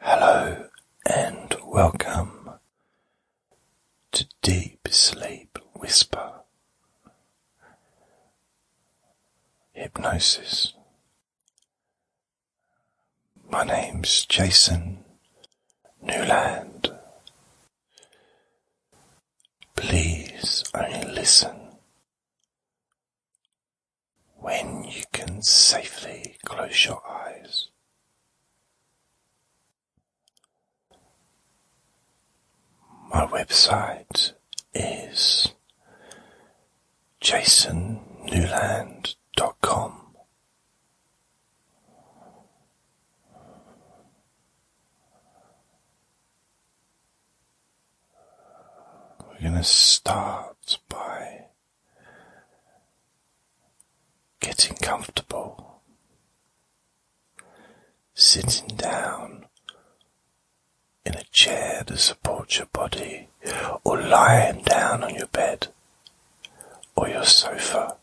Hello and welcome to Deep Sleep Whisper Hypnosis. My name's Jason Newland. Please I listen when you can safely close your eyes. My website is jasonnewland.com. We're going to start by Getting comfortable, sitting down in a chair to support your body, or lying down on your bed or your sofa.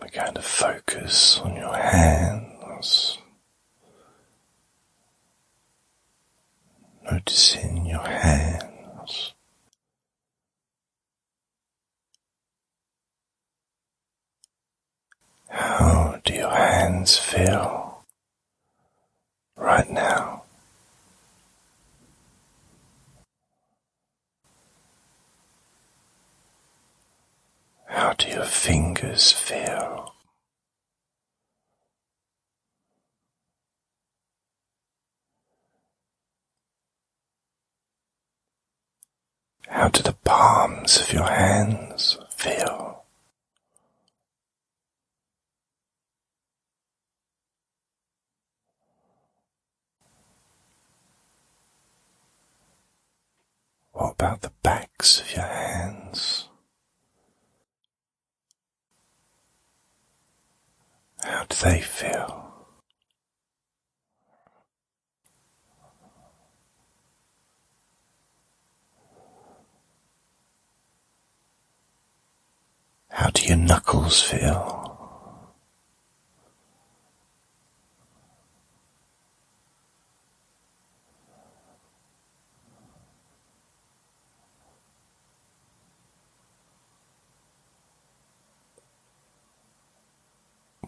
We're going to focus on your hands Noticing your hands. How do your hands feel right now? How do your fingers feel? How do the palms of your hands feel? What about the backs of your hands? How do they feel? How do your knuckles feel?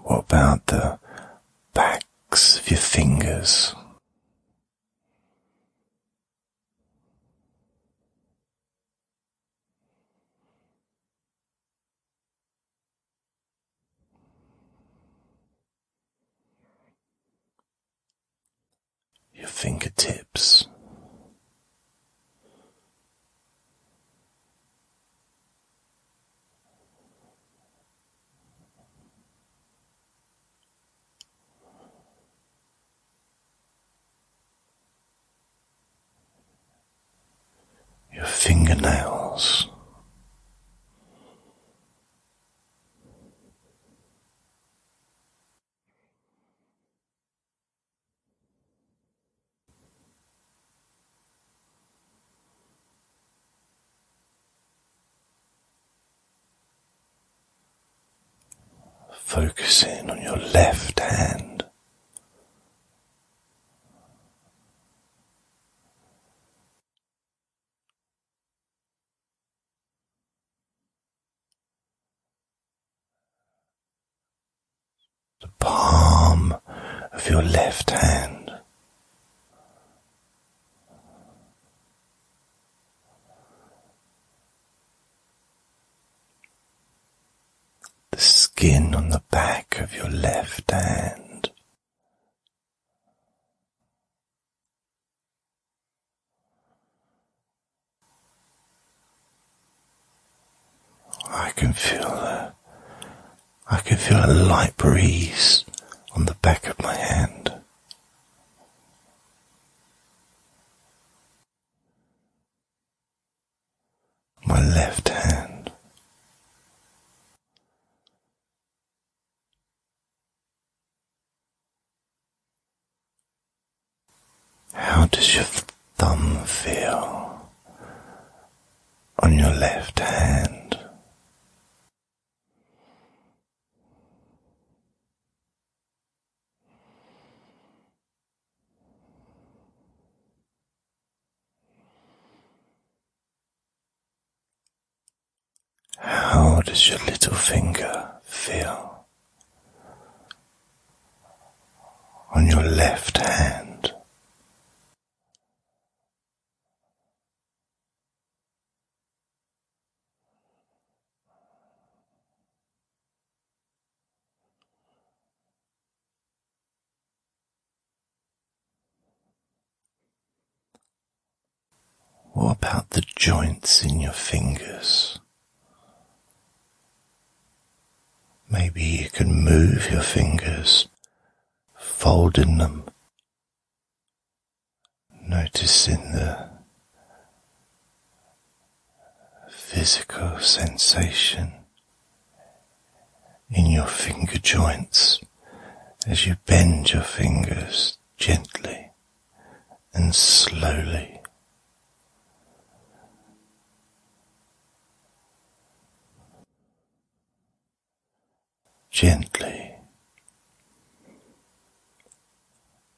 What about the backs of your fingers? your fingertips your fingernails. Focusing on your left hand, the palm of your left hand. The skin on the back of your left hand, I can feel a, I can feel a light breeze on the back of my hand my left hand. How does your thumb feel on your left hand? How does your little finger feel on your left hand? What about the joints in your fingers? Maybe you can move your fingers, folding them, noticing the physical sensation in your finger joints as you bend your fingers gently and slowly. Gently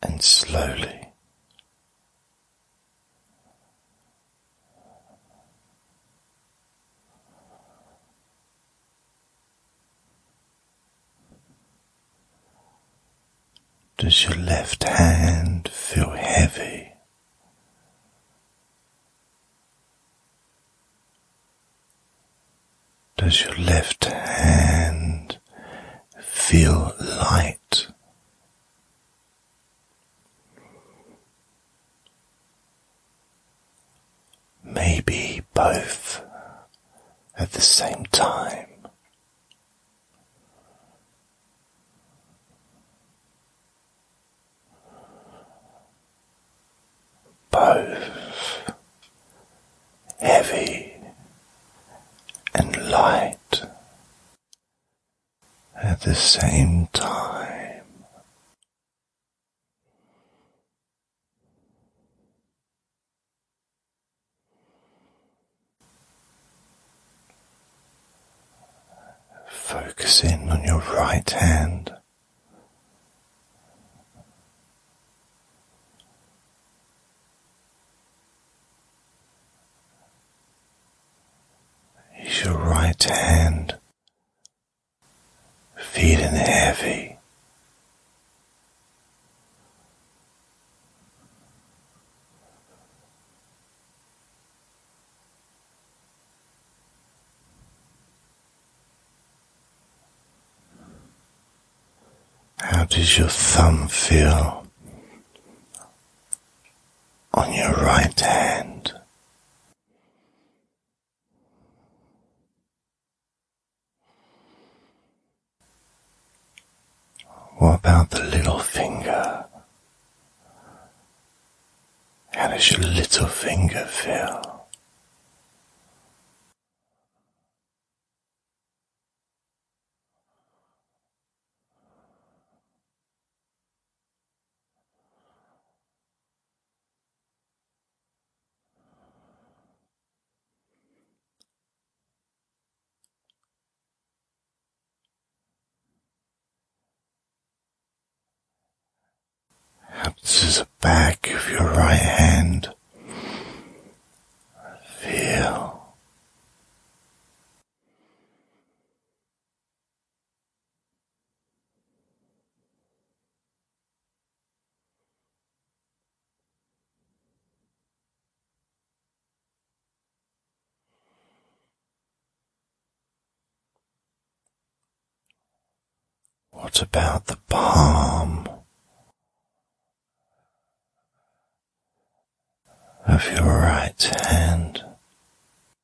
and slowly, does your left hand feel heavy? Does your left hand feel light? Maybe both at the same time. Both heavy and light at the same time. Focus in on your right hand is your right hand feeling heavy? How does your thumb feel on your right hand. What about the little finger? How does your little finger feel? Touches the back of your right hand. Feel what about the palm of your right hand?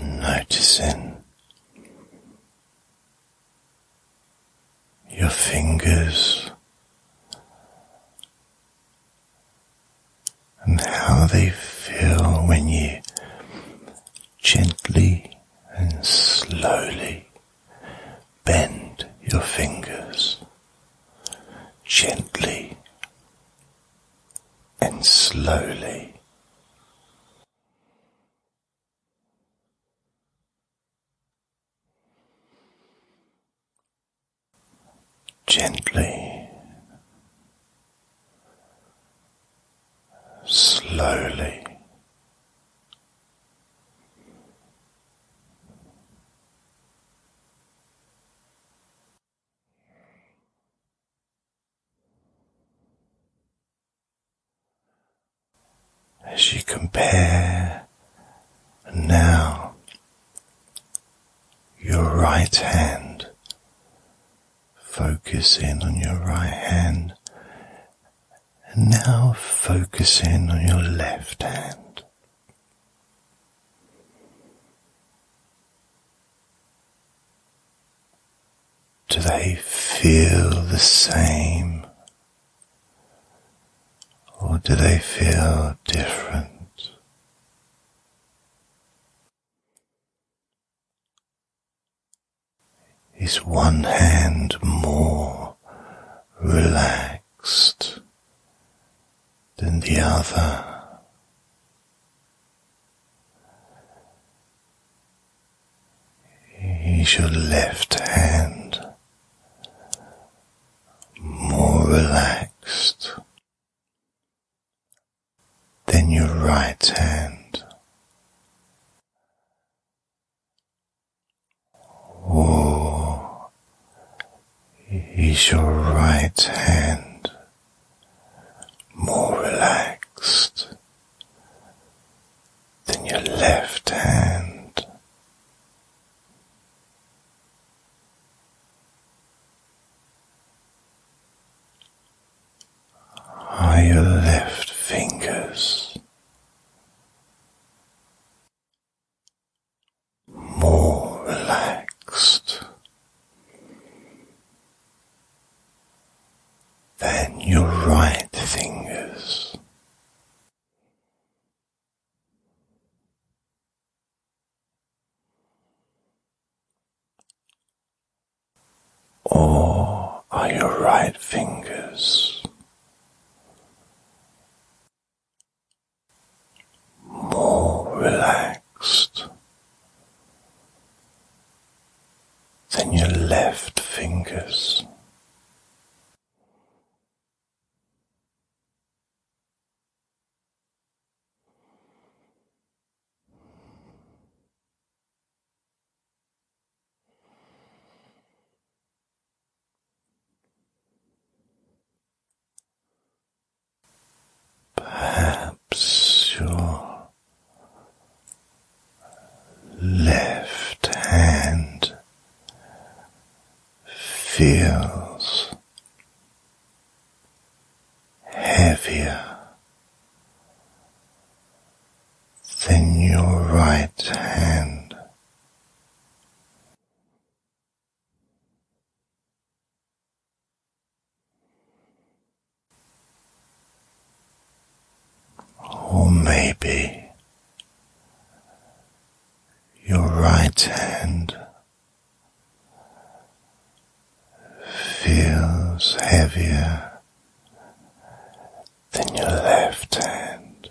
Noticing your fingers and how they feel when you gently and slowly bend your fingers gently and slowly. Gently, slowly, as you compare now your right hand, focus in on your right hand, and now focus in on your left hand. Do they feel the same? Or do they feel different? Is one hand more relaxed? relaxed than the other. Is your left hand more relaxed than your right hand? or is your right hand more relaxed than your left hand? Are your left fingers more relaxed, than your right fingers. Or are your right fingers more relaxed than your left fingers. Perhaps your left hand feels heavier than your right hand. Or maybe your right hand feels heavier than your left hand.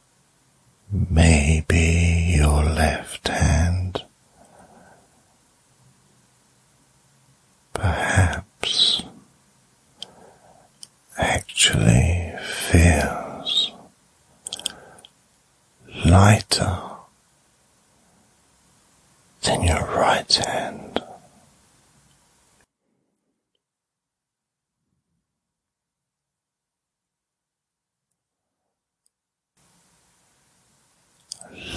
maybe your left hand, perhaps actually feels lighter than your right hand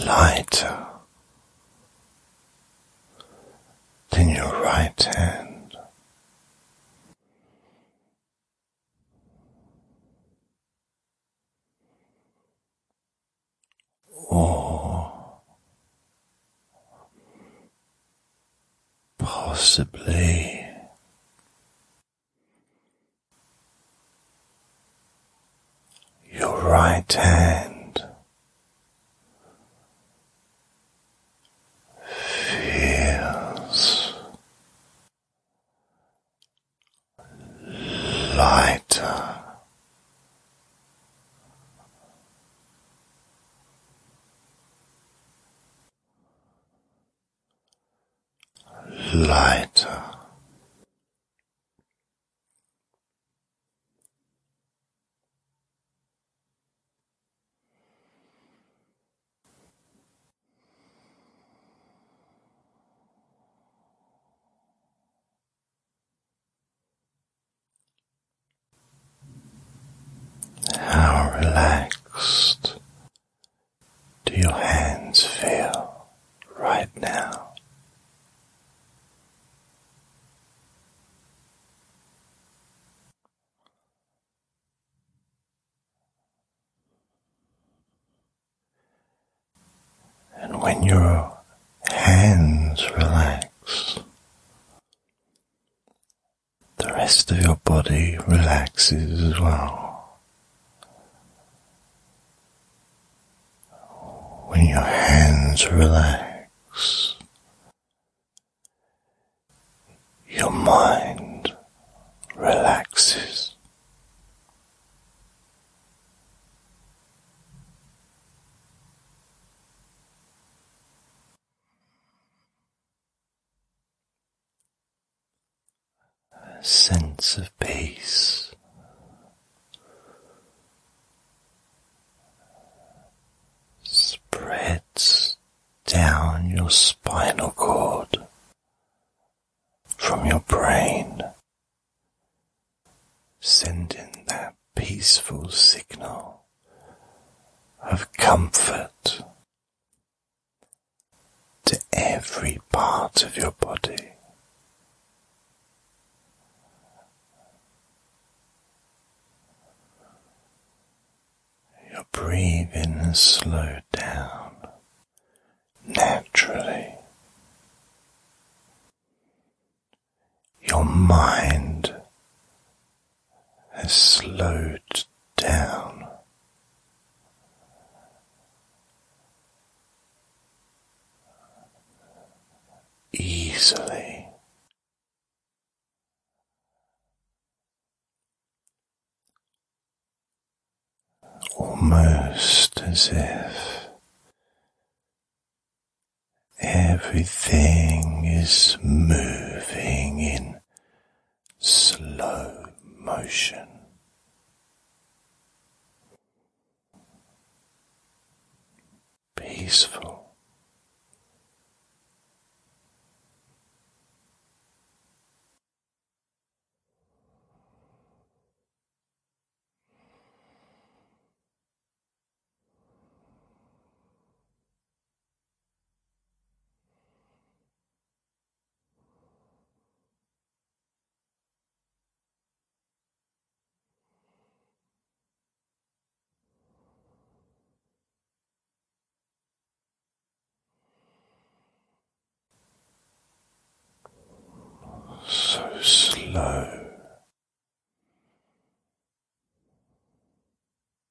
lighter than your right hand. Or possibly your right hand feels lighter lighter. How relaxed do your hands feel right now? And when your hands relax, the rest of your body relaxes as well. When your hands relax, your mind relaxes a sense of peace. Spreads down your spinal cord from your brain, sending that peaceful signal of comfort to every part of your body. Your breathing is slowed down naturally. Your mind has slowed down. Easily, almost as if everything is moving in slow motion. Peaceful. So slow.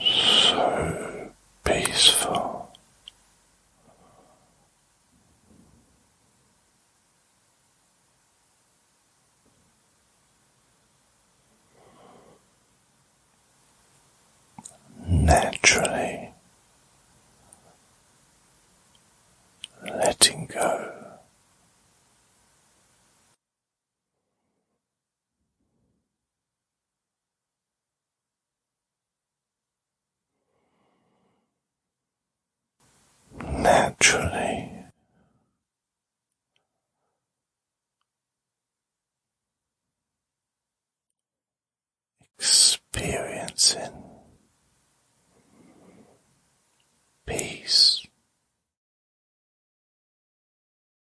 so peaceful. Naturally letting go naturally. Experiencing peace